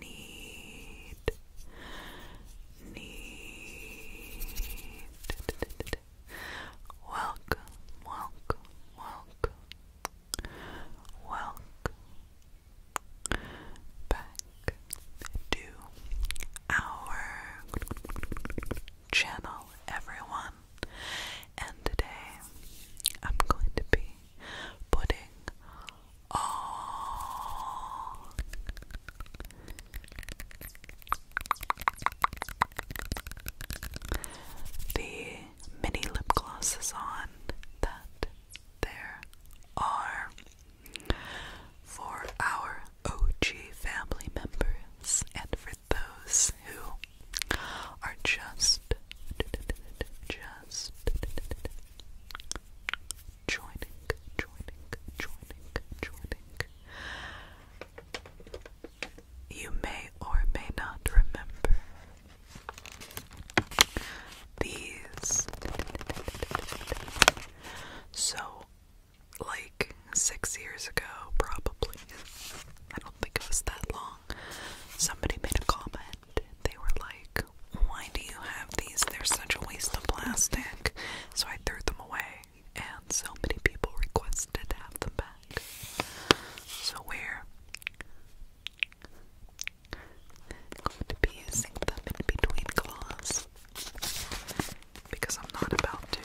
Need Need Welcome, welcome, welcome, Welcome back to our channel, everyone. And today I'm going to be putting all the Many lip glosses on that there are for our OG family members and for those who are just just joining, joining, joining, joining. You may or may not remember these. So, like six years ago, probably, I don't think it was that long, somebody made a comment. They were like, Why do you have these? They're such a waste of plastic. So I threw them away, and so many people requested to have them back. So we're going to be using them in between claws because I'm not about to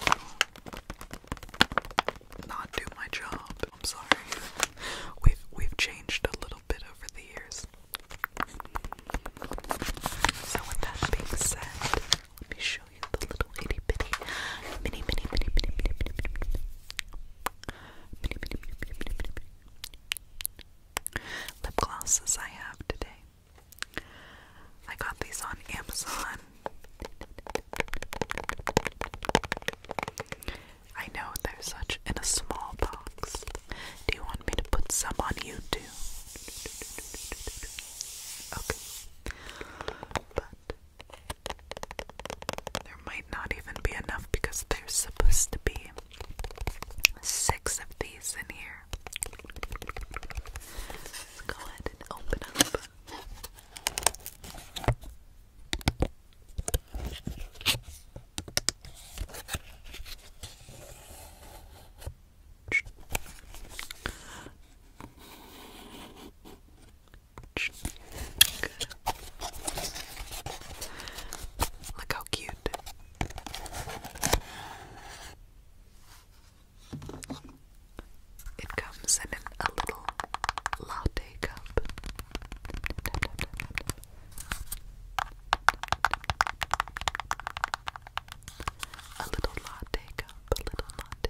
not do my job. I'm sorry. We've we've changed a little bit over the years. So with that being said, let me show you the little itty bitty mini mini mini mini mini mini mini mini mini mini mini mini mini mini lip glosses I have today. I got these on Amazon. I know they're such in a small box. Do you want me to put some on YouTube? Okay. But there might not even be enough because there's supposed to be six of these in here. go ahead and open up. Look how cute. It comes in a little latte cup. A little latte cup, a little latte cup, a little latte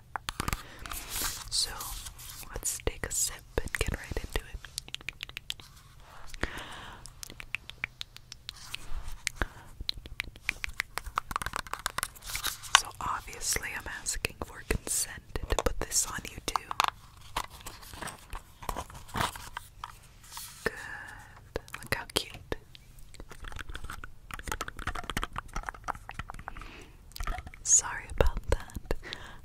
So let's take a sip and get right into it. So obviously, I'm asking for consent to put this on YouTube. Good. Look how cute. Sorry about that.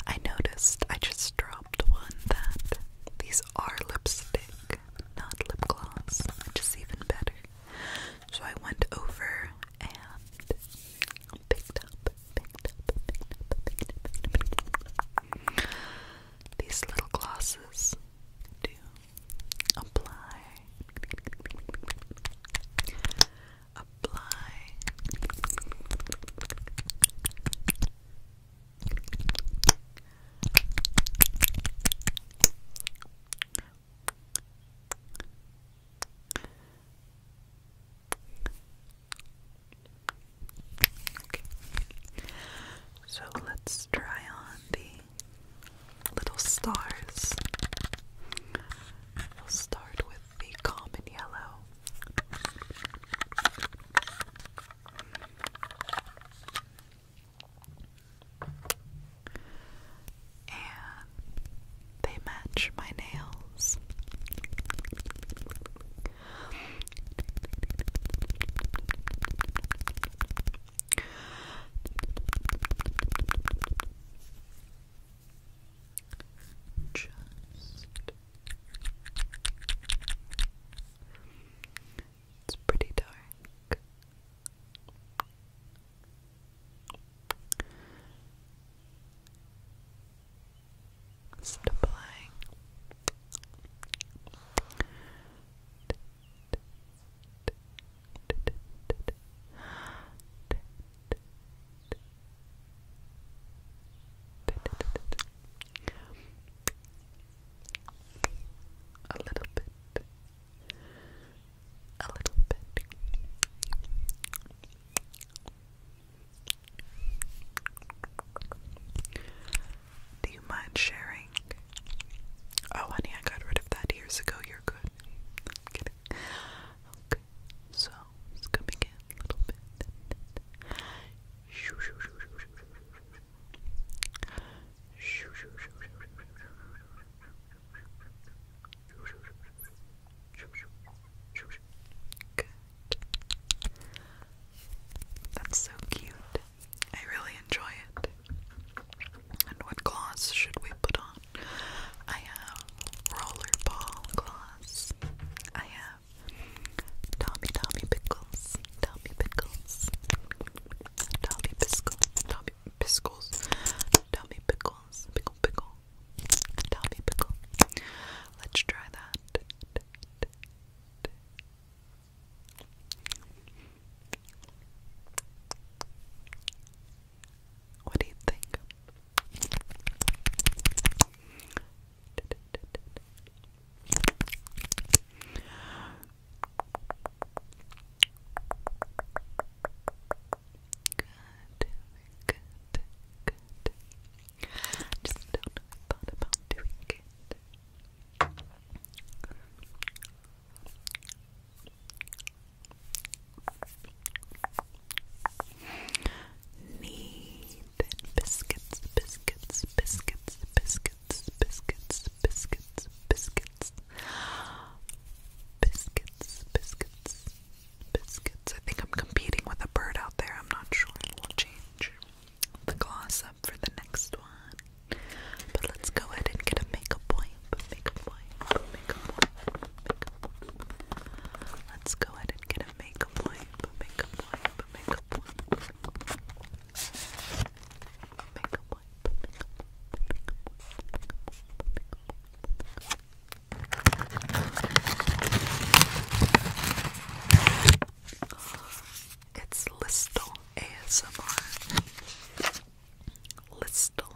I noticed I just dropped one that these are lipstick, not lip gloss, which is even better. So I went over and picked up, picked up, picked up, these little glosses to apply apply So let's try on the little stars. We'll start with be calm and yellow. And they match my nails. Just it's pretty dark. Just applying a little bit. A little bit. Do you mind sharing? Oh, honey, I got rid of that years ago. You're good. I'm kidding. Okay, so sounds coming in a little bit. Good. That's so cute. I really enjoy it. And what gloss should we put on? on. I have rollerball gloss. I have Tommy Tommy Pickles. Tommy Pickles. Tommy Pickles. Tommy Pickles. Tommy Pickles. Pickle Pickle. Tommy Pickle. Let's try that. What do you think? Good, good, good. Just thought about doing it. Need biscuits, biscuits, biscuits, biscuits, biscuits, biscuits, biscuits, biscuits, biscuits, biscuits. I think I'm competing with a bird out there. I'm not sure. We'll change the gloss up for the next one. But let's go ahead and get a makeup point wipe, makeup wipe, makeup wipe, makeup wipe. Let's go ahead and get a makeup wipe, makeup wipe, makeup wipe. A makeup wipe, makeup wipe, makeup wipe, makeup wipe. It's Listel ASMR. Listel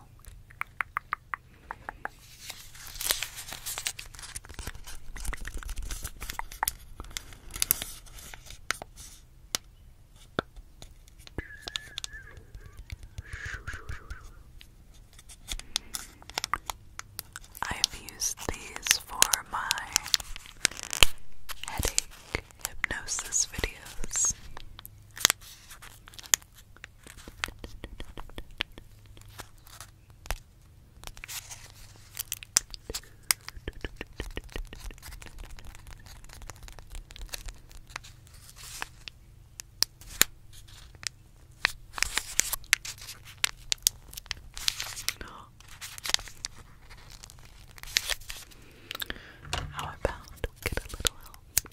I've used these for my headache hypnosis videos. How about get a little help?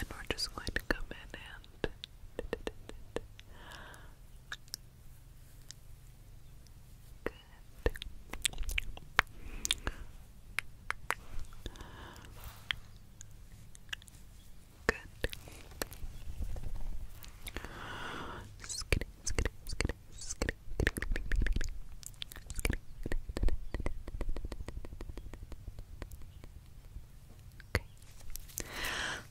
And we're just going to come in and Okay.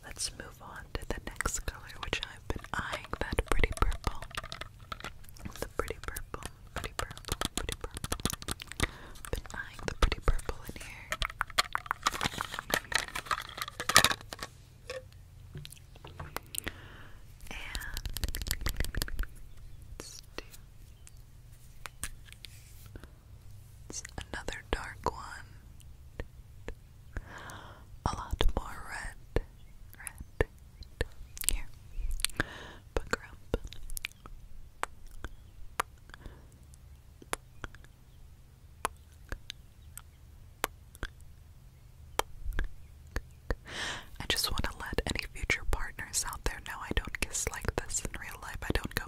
Let's move on to the next color, which I've been eyeing that pretty purple. The pretty purple, pretty purple, pretty purple. Been eyeing the pretty purple in here let's it's another dark one. A lot more red. Red. Here. Buck rump. I just want to let any future partners out there know I don't kiss like this in real life. I don't go.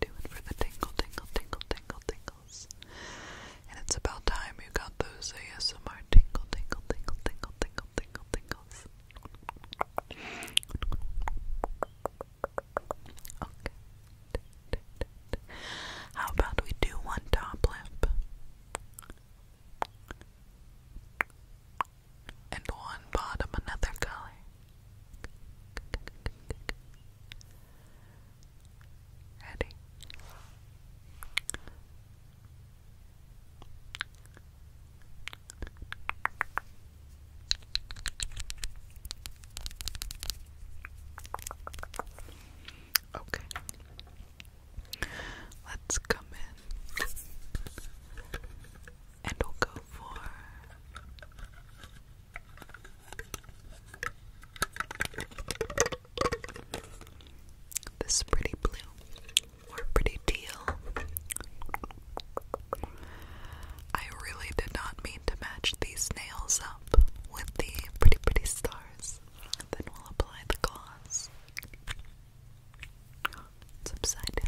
Do for the tingle, tingle, tingle, tingle, tingles. And it's about time you got those ASMR tingle, tingle, tingle, tingle, tingle, tingle, tingles. How about we do one top lip and one bottom, another color? Ready? Okay. Let's come in and we'll go for this pretty blue pretty teal. I really did not mean to match these nails up with the pretty, pretty stars. And then we'll apply the gloss. upside down.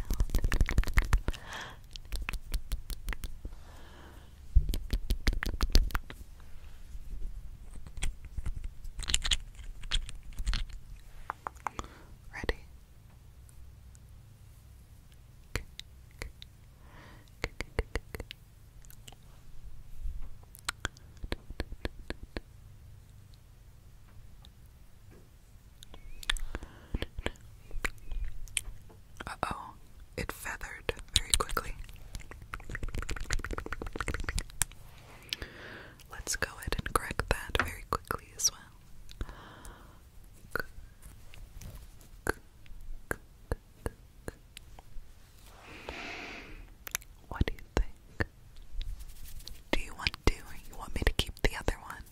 Ready? uh oh, it feathered very quickly. Let's go ahead and correct that very quickly as well. What do you think? Do you want to, or you want me to keep the other one?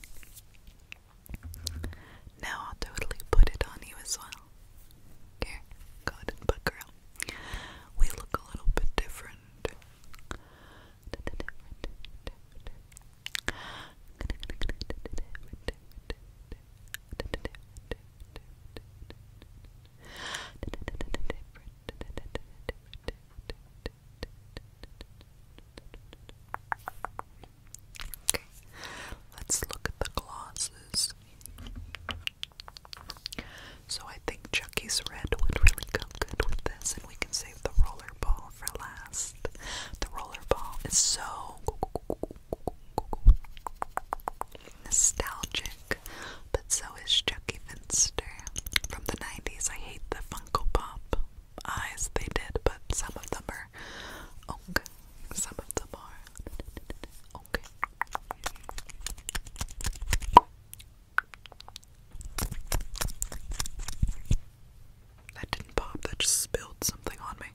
Now I'll totally put it on you as well. Here, go and buckle up. We look a little bit different. Okay, let's look at the glasses. So I think Chucky's red would really go good with this, and we can save the rollerball for last. The rollerball is so nostalgic, but so is Chucky Finster from the 90s. I hate the Funko Pop eyes they did, but some of them are okay. Some of them are okay. That didn't pop, that just spilled something on me.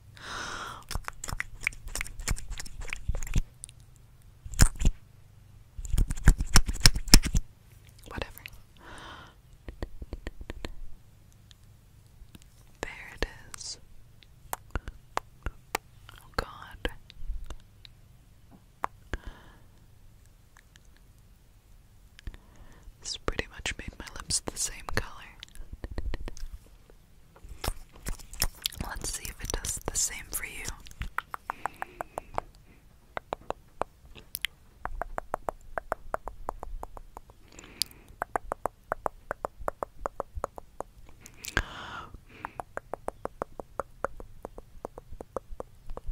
Whatever. There it is. Oh, God. This pretty much made my lips the same color. Let's see if it does the same for you.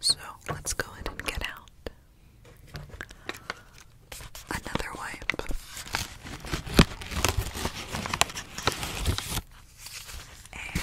so let's go ahead and get out. Another wipe. And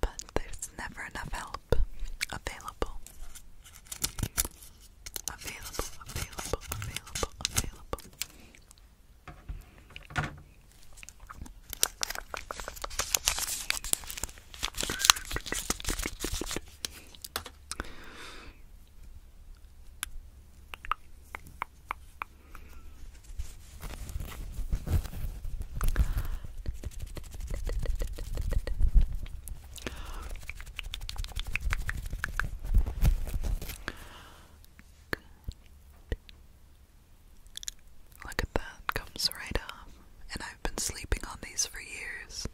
But there's never enough help available. Available, available, available, available. Look at that, comes right up, and I've been sleeping on these for years.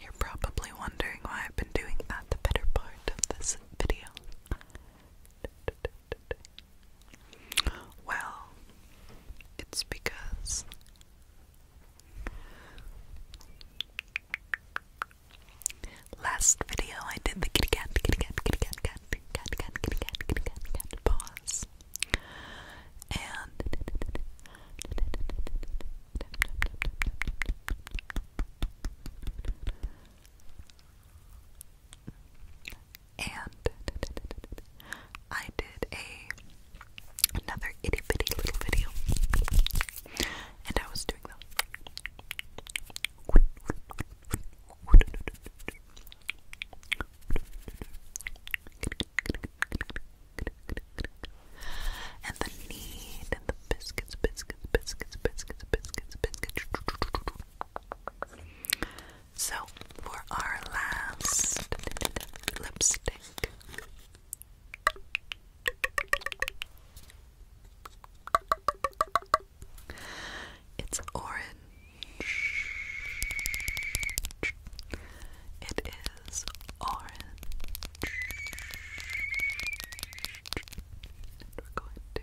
You're probably wondering why I've been doing that the better part of this video. Well, it's because last video I did the kitty cat, kitty cat, kitty cat, cat, cat, cat, kitty cat, kitty cat, cat, cat, and and I did a another itty bitty little video, and I was doing them. And the need and the biscuits, biscuits, biscuits, biscuits, biscuits, biscuits. So for our last lipstick. It's orange. It is orange. we're going to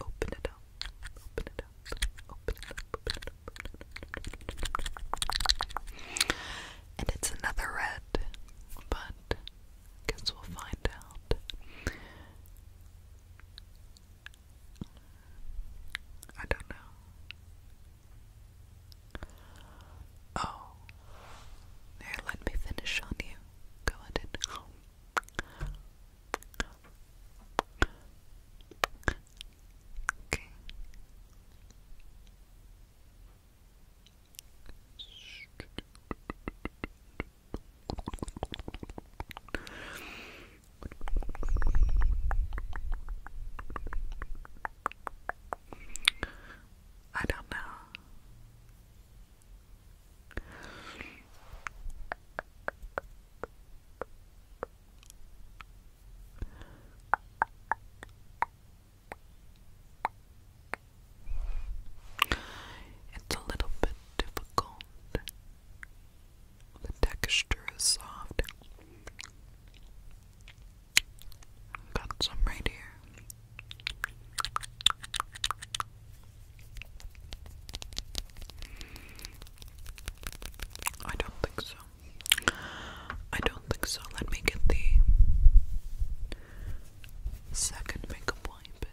open it up. Open it up. Open it up. Open it up. And it's another red, but guess we'll find out. I don't know. Oh. There, let me finish on you. Go at it. Okay. I don't know. It's a little bit difficult the texture is soft. Got some right here. I don't think so. I don't think so. Let me get the second makeup wipe.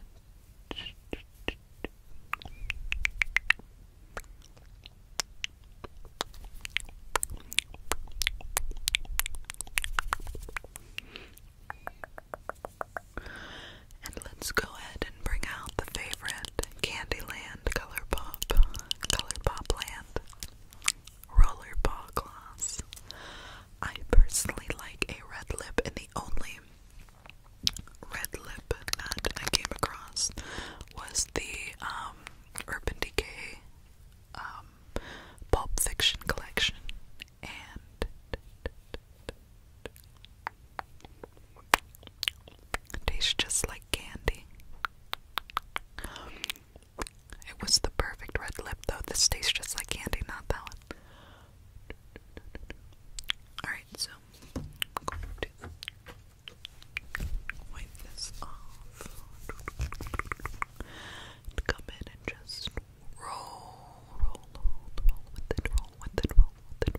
And let's go ahead and bring out the favorite Candyland Colourpop, Colourpop Land Roller Gloss. I personally like a red lip, and the only red lip that I came across was the um, Urban Decay um, Pulp Fiction collection, and it tastes just like candy. It was the perfect red lip, though. This tastes just like candy, not that one. Alright, so so I'm going to wipe this off and come in and just roll, roll, roll, roll with it, roll with it, roll with it,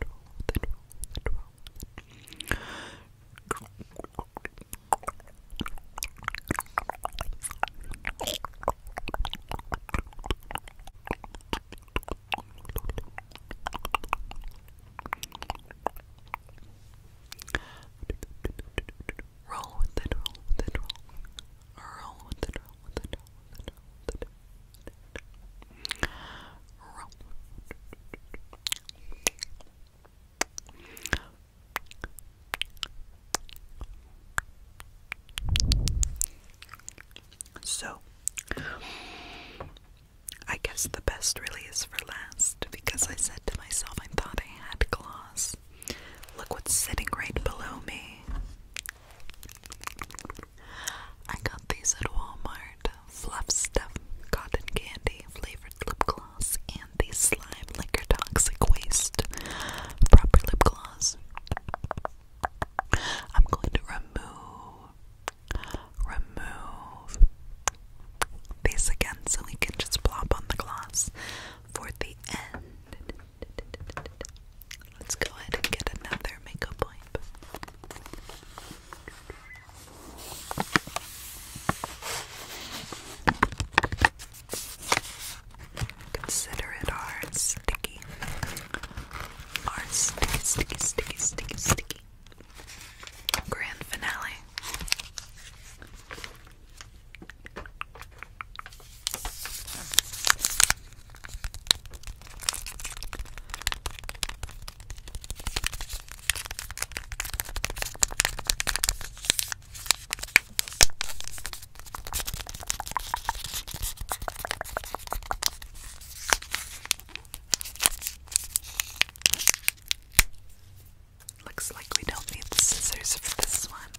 roll with it, roll with it, roll with it, roll with it. Roll with it. Roll Roll with it, roll with it, roll. Roll with it, roll with it, roll with it, roll with it. Roll. Roll. So, I guess the best really is for last because I said to myself I thought I had gloss. Look what's sitting right below me. I got these at Walmart. Fluff Stuff Cotton Candy Flavored Lip Gloss and the Slime like Liquor Toxic Waste Proper Lip Gloss. I'm going to remove, remove these again so we can just plop on the gloss for the end. Let's go ahead and get another makeup point. Consider it our sticky. Our sticky, sticky, sticky, sticky, sticky. Grand finale. Looks like we don't need the scissors for this one.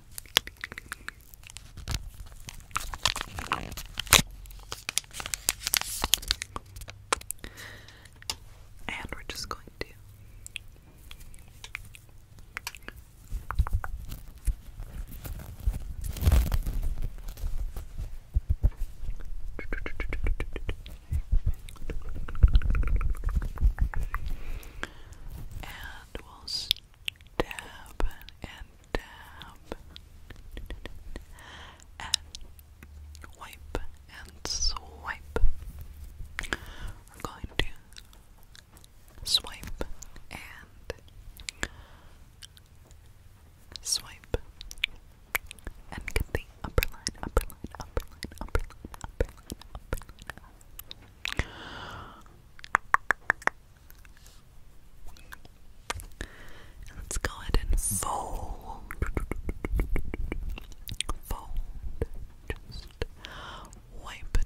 And we're just going to and we'll stab and dab and wipe and swipe. We're going to swipe and swipe and get the upper line, upper line, upper line, upper line, upper line, let's go ahead and fold. Fold. Just wipe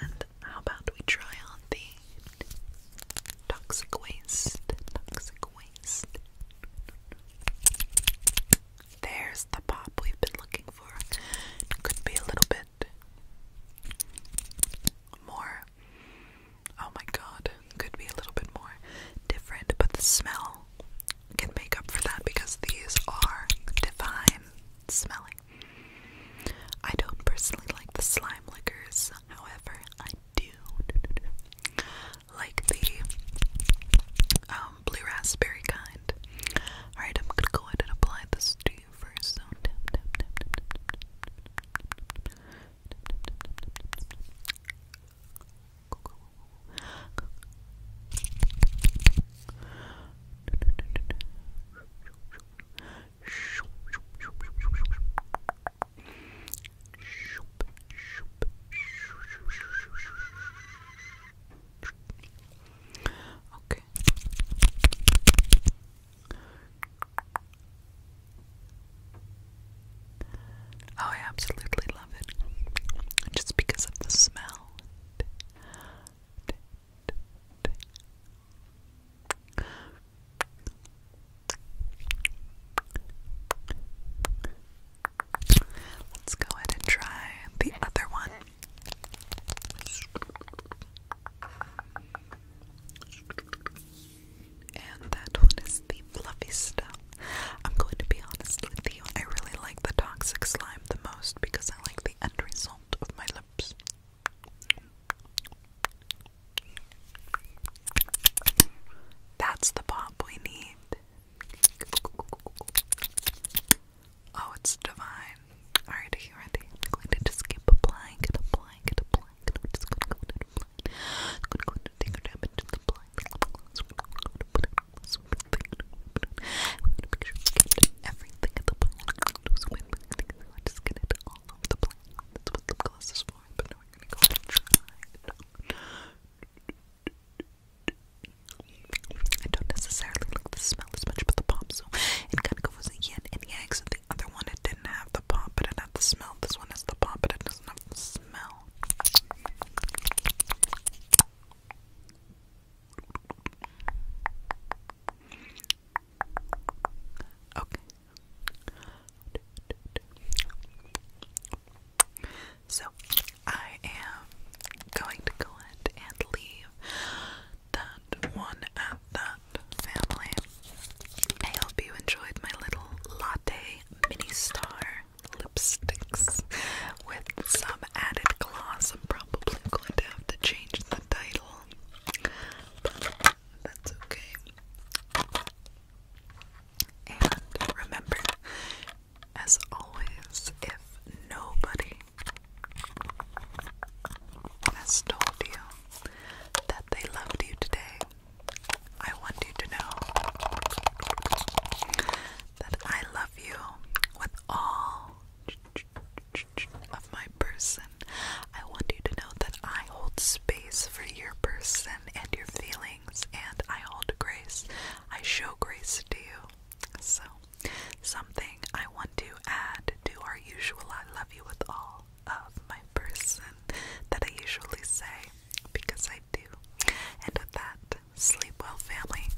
and how about we try on the toxic waste? Toxic waste. There's the pop we've been looking for. Could be a little bit more. Oh my god, could be a little bit more different, but the smell can make up for that because these are divine smelling. I don't personally like the slime liquors, however, I do like the blue raspberry kind. Alright, I'm gonna go ahead and apply this to you first. Okay. Oh, I absolutely love it. Just because of the smell. Let's go ahead and try the other one. And that one is the fluffy stuff. I'm going to be honest with you, I really like the toxic slime the most because I like the end result of my lips. That's the pop we need. Oh, it's divine. Alright, are I'm going to just keep applying it, applying it, applying it. We're just going to go ahead and apply it. I'm going to go ahead and take our time and just apply it. We're going to make sure we get everything at the point. So when I just get it all over the place. That's what lip gloss is for, but now we're gonna go try I don't necessarily like the smell as much, but the pop, so it kind of goes a yin and yang. So the other one, it didn't have the pop, but it had the smell. This one has the pop, but it doesn't have the smell. Okay. So I am going to go ahead and leave that one at that family. I hope you enjoyed my little latte mini star lipsticks with some added gloss. I'm probably going to have to change the title that's okay. And remember, as always, if nobody has told you that they loved you today, I want you to know that I love you with all of my person. I want you to know that I hold space for your person and your feelings, and I hold grace. I show grace to you. So, something I want to add to our usual I love you with all of my person that I usually say because I do. And with that, sleep well, family.